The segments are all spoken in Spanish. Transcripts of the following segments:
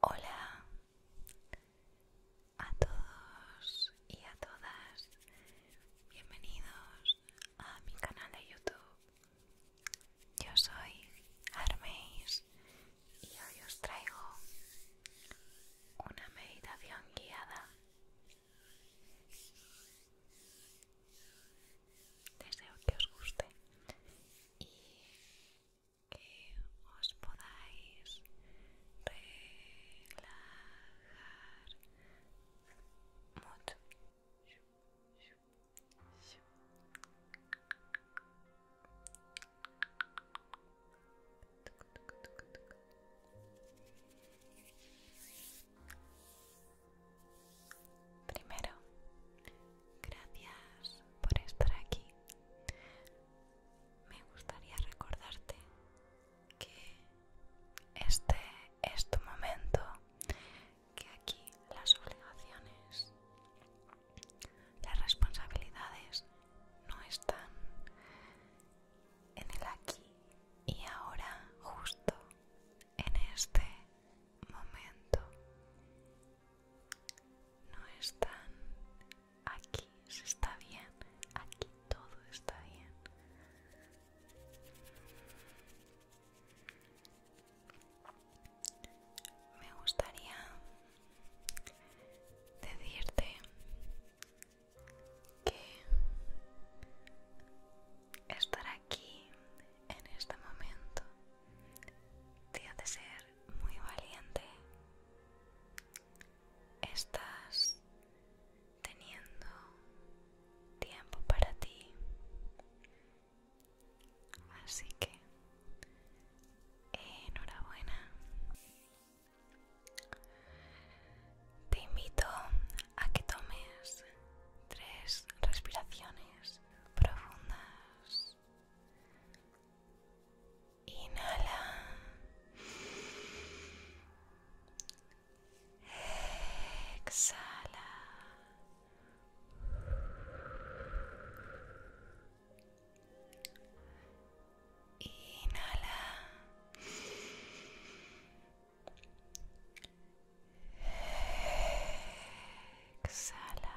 Hola a todos y a todas, bienvenidos a mi canal de YouTube. Yo soy Arméis y hoy os traigo una meditación guiada deseo que os guste y que os podáis relajar mucho. Primero Gracias por estar aquí. Me gustaría recordarte que este es tu momento, que aquí las obligaciones, las responsabilidades no están en el aquí y ahora justo en este momento no están aquí, se está bien, aquí todo está bien. Me gustaría decirte que estar aquí en este momento te de ser muy valiente estás teniendo tiempo para ti así que enhorabuena te invito a que tomes tres respiraciones profundas Inhala. Exhala. Inhala. Exhala.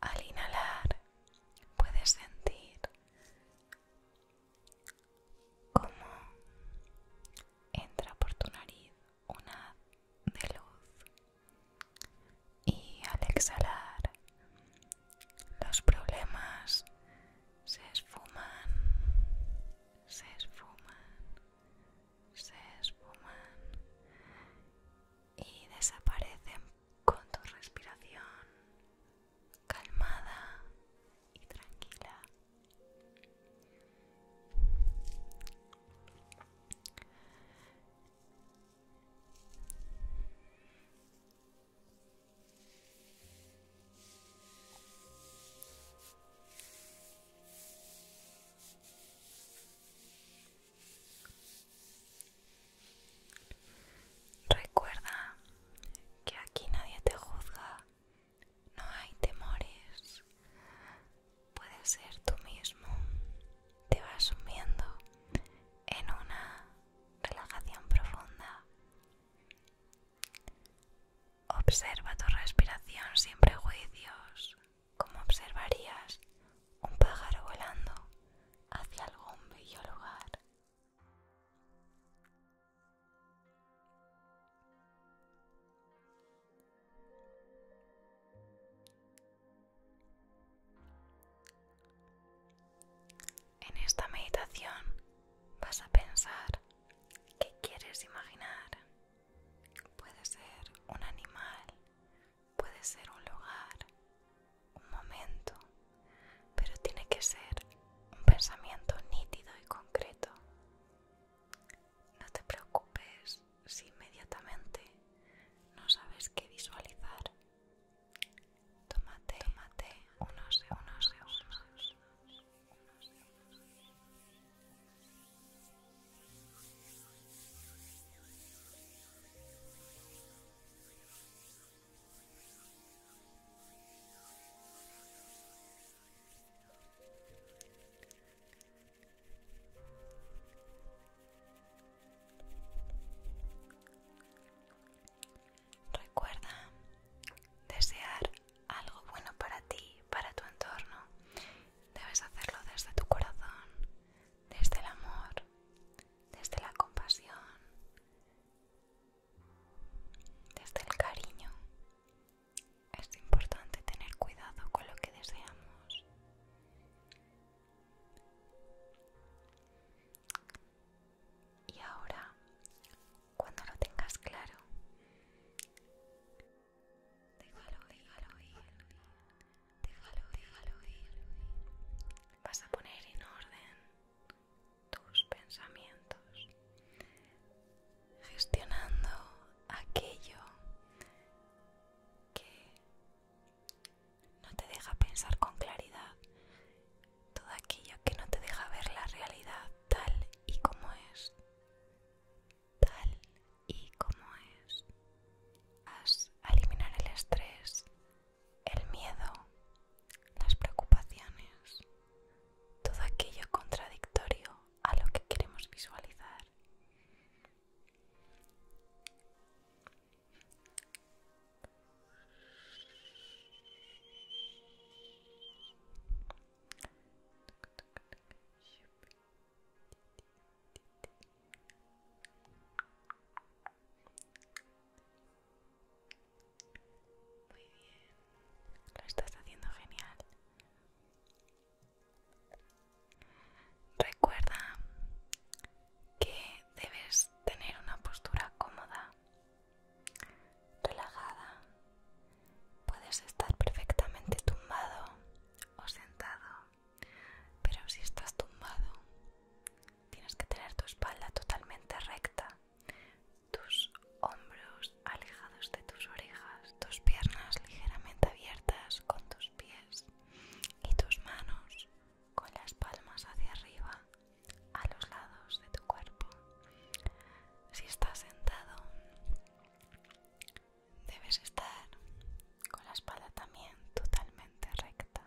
Al inhalar puedes sentir cómo entra por tu nariz una de luz y al exhalar los problemas se esfuman, se esfuman se esfuman y desaparecen con tu respiración calmada y tranquila. Recuerda que aquí nadie te juzga, no hay temores, puedes ser tú mismo, te vas sumiendo en una relajación profunda. Observa tu respiración sin prejuicios, como observarías un pájaro volando hacia algún bello lugar. En esta meditación vas a pensar qué quieres imaginar Puede ser un animal, puede ser un lugar, un momento, pero tiene que ser un pensamiento nítido y concreto. No te preocupes si inmediatamente no sabes qué visualizar. Tómate, tómate unos segundos. Recuerda desear algo bueno para ti, para tu entorno, debes hacerlo desde tu corazón, desde el amor, desde la compasión, desde el cariño. Es importante tener cuidado con lo que deseamos. Y ahora, cuando lo tengas claro, Déjalo ir, déjalo ir, Vas a poner en orden tus pensamientos, gestionando aquello que no te deja pensar con claridad, todo aquello que no te deja ver la realidad tal y como es tal y como es. a eliminar el estrés, el miedo, las preocupaciones, todo aquello contradictorio a lo que queremos visualizar. Muy bien, lo estás haciendo genial. Recuerda que debes tener una postura cómoda, relajada Puedes estar perfectamente tumbado o sentado, pero si estás tumbado, tienes que tener tu espalda totalmente recta, tus hombros alejados de tus orejas, tus piernas ligeramente abiertas con tus pies y tus manos con las palmas hacia arriba a los lados de tu cuerpo. Si estás sentado, Debes estar con la espalda también totalmente recta.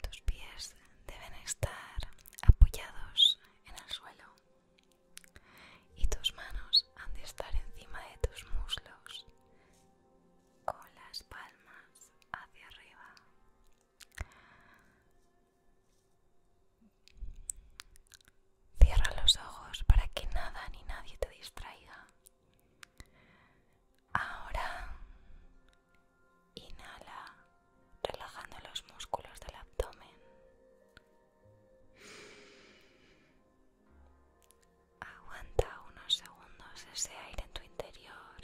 Tus pies deben estar apoyados en el suelo y tus manos han de estar encima de tus muslos con las palmas hacia arriba. Cierra los ojos para que nada ni nadie te distraiga. Ahora inhala relajando los músculos del abdomen. Aguanta unos segundos ese aire en tu interior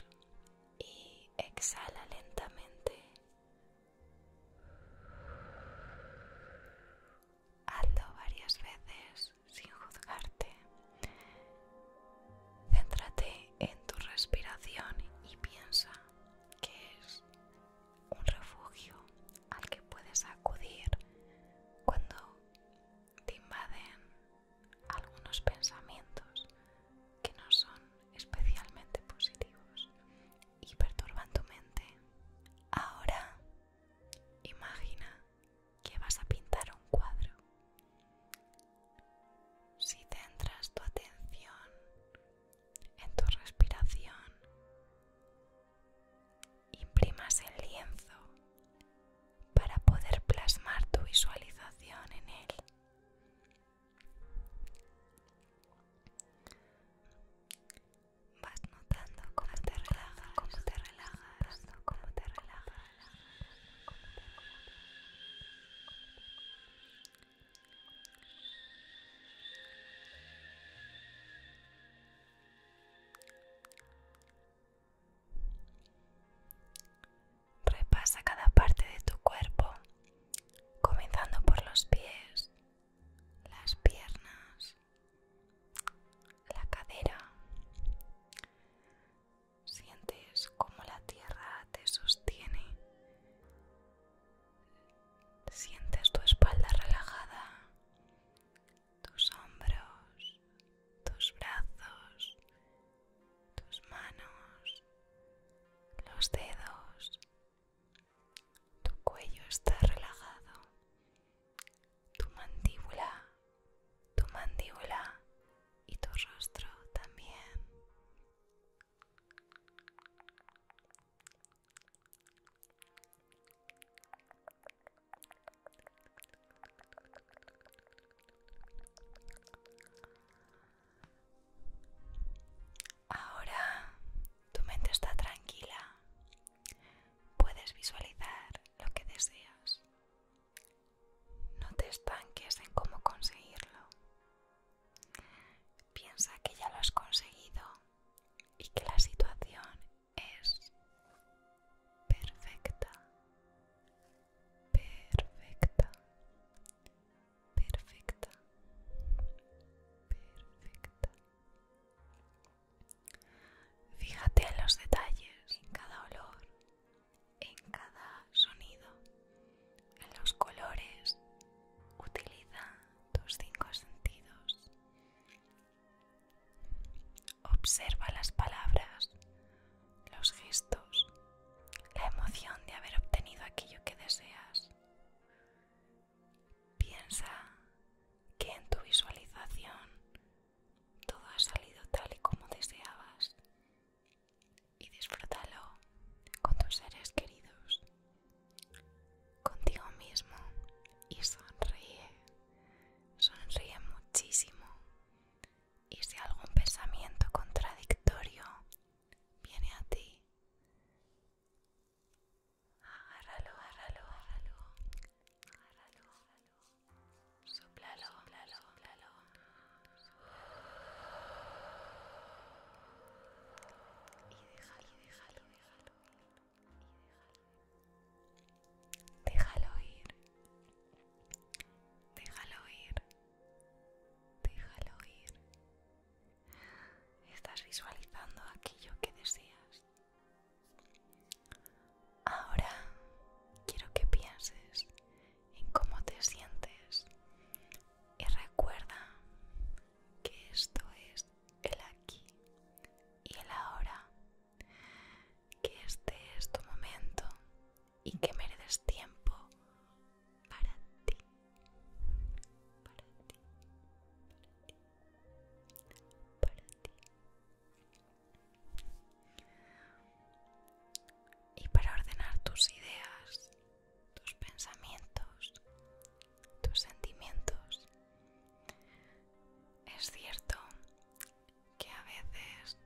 y exhala lentamente Hazlo varias veces sin juzgarte. Céntrate en tu respiración y piensa que es un refugio al que puedes acudir cuando te invaden algunos pensamientos que no son especialmente positivos y perturban tu mente. Ahora imagina que vas a pintar un cuadro. Si centras tu atención en tu respiración, imprimas el lienzo para poder plasmar tu visualización en él. Vas notando cómo te relajas, cómo te relajas, cómo te relajas. Repasa cada parte de tu cuerpo, comenzando por los pies, las piernas, la cadera. Sientes como la tierra te sostiene. Sientes tu espalda relajada, tus hombros, tus brazos, tus manos, los dedos, tu cuello está relajado. Tu mandíbula, tu mandíbula y tu rostro también. Ahora tu mente está tranquila. Puedes visualizar lo que deseas. No te estanques en cómo conseguirlo. Piensa que ya lo has conseguido y que la situación es perfecta. Perfecta perfecta, perfecta. Fíjate en los detalles, en cada olor, en cada sonido, en los colores. Utiliza tus cinco sentidos. Observa las palabras, los gestos, la emoción de haber obtenido aquello que deseas. Piensa que en tu visualización todo ha salido tal y como deseabas y disfrútalo con tus seres queridos, contigo mismo y sonríe, sonríe muchísimo y si algún pensamiento contradictorio viene a ti, agárralo, agárralo, Y déjalo, y déjalo, ir. Déjalo Déjalo ir. Déjalo ir. Déjalo ir. Estás visualizando aquello que deseas. Ahora quiero que pienses en cómo te sientes y recuerda que esto es el aquí y el ahora, que este es tu momento y que mereces tiempo para ti para ti, para ti, y para ordenar tus ideas, tus pensamientos, tus sentimientos. Es cierto que a veces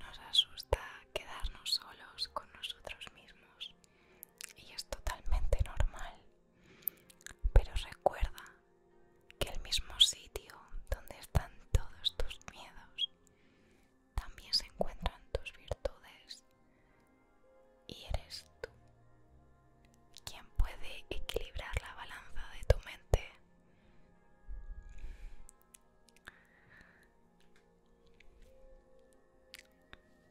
nos asusta quedarnos solos con nosotros mismos y es totalmente normal. Pero recuerda que el mismo sitio donde están todos tus miedos, también se encuentran tus virtudes. Y eres tú quien puede equilibrar la balanza de tu mente.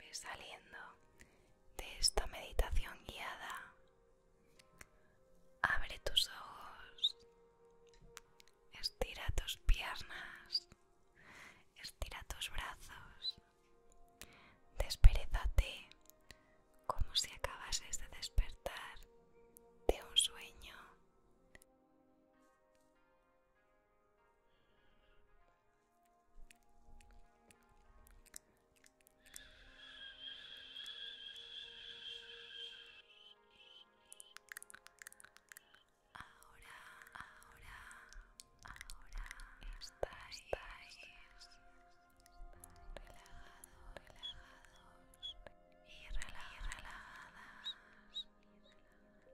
Ve saliendo de esta meditación guiada. Abre tus ojos. Estira tus piernas. Estira tus brazos. Desperezate como si acabases de despertar de un sueño. Ahora, ahora, ahora estáis, Está relajados, relajados y, y relajadas.